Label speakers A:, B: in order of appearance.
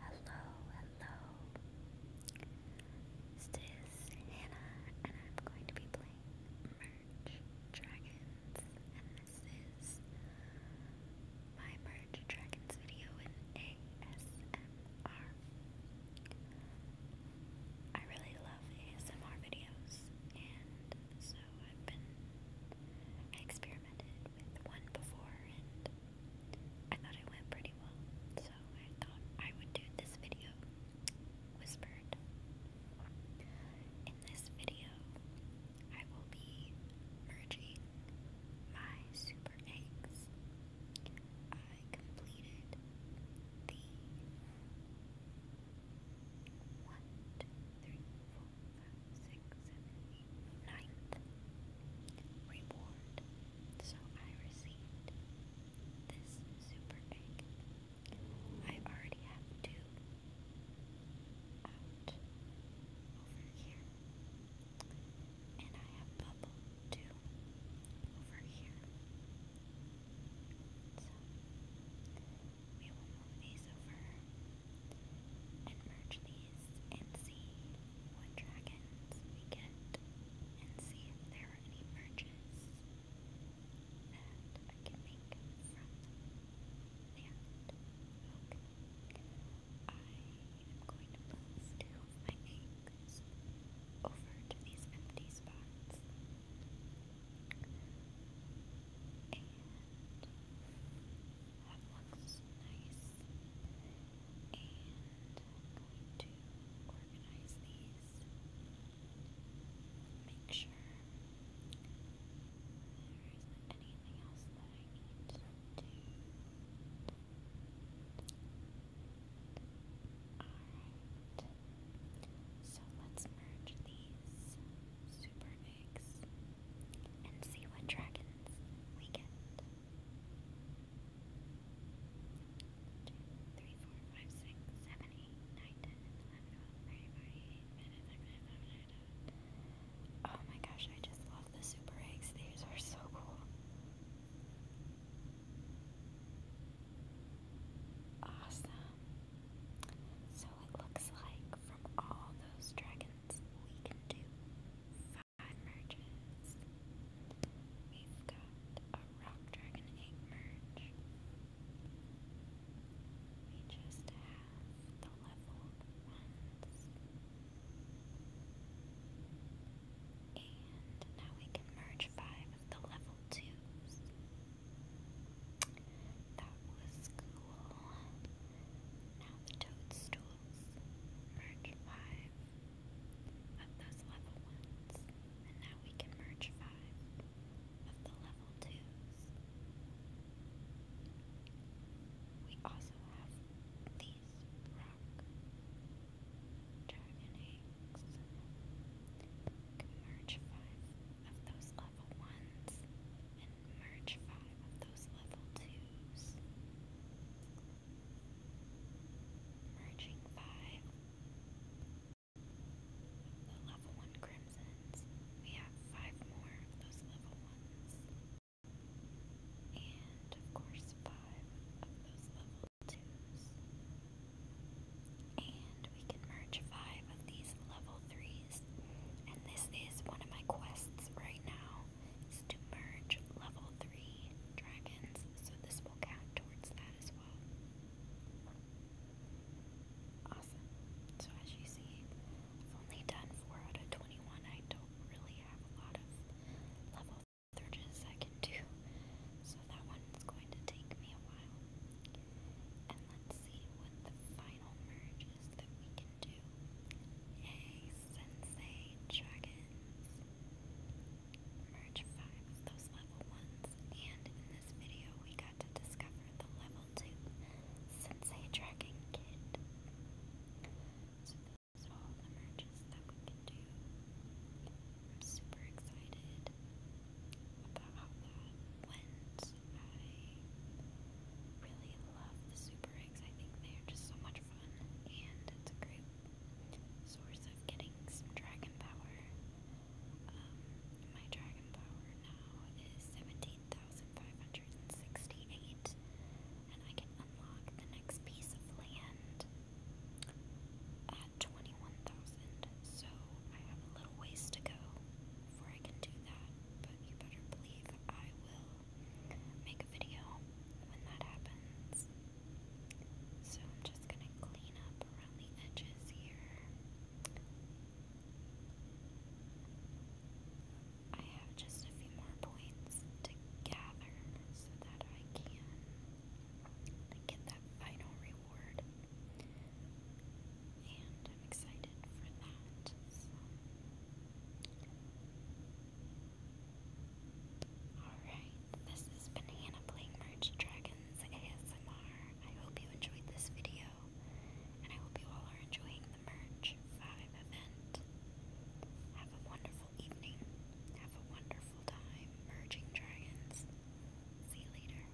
A: Hello, hello. This is Hannah, and I'm going to be playing Merge Dragons, and this is my Merge Dragons video in ASMR. I really love ASMR videos, and so I've been experimenting one before and I thought it went pretty well. So I thought I would do this video whispered. In this video, I will be merging my super eggs. I completed the one, two, three, four, six, seven, eight, ninth reward. So I received this super egg. I already have two out over here. And I have bubble two over here. So we will move these over and merge these and see what dragons we get and see if there are any merges that I can make from that. I am going to move two of my eggs over to these empty spots. That looks nice. And I'm going to organize these. Make sure there anything else that I need to do. Alright. So let's merge these super and see what dragons we get. Oh my gosh, I just love the super eggs. These are so cool. Awesome. So it looks like from all those dragon we can do five merges. We've got a Rock Dragon 8 merge. We just have the leveled ones. And now we can merge five of the level twos. That was cool. Now the toadstools merge five of those level ones, and now we can merge five of the level twos. We also have these rock dragon eggs. merge five of those level ones, merge five of those level twos. Merging five the level one crimsons, we have five more of those level ones. And of course, five of those level twos. And we can merge five of these level threes. And this is one of my quests right now, to merge level 3 dragons, so this will count towards that as well. Awesome. So as you see, I've only done 4 out of 21. I don't really have a lot of level 3 I can do, so that one's going to take me a while. And let's see what the final merge that we can do. Yay, Sensei Dragons! Merge 5s, those level 1s, and in this video we got to discover the level 2 Sensei Dragon Kit. So all the merges that we can do. I'm super excited about how that I really love the super eggs. I think they are just so much fun, and it's a great source of getting some dragon power. Um, my dragon power now is 17,568, and I can unlock the next piece of land at 21,000, so I have a little ways to go before I can do that, but you better believe I will make a video when that happens. So I'm just gonna clean up around the edges here. I have just a few more points to gather so that I can get that final reward. And I'm excited for that. So. Alright, this has been playing Merge Dragons ASMR. I hope you enjoyed this video, and I hope you all are enjoying the Merge 5 event. Have a wonderful evening. Have a wonderful time merging dragons. See you later.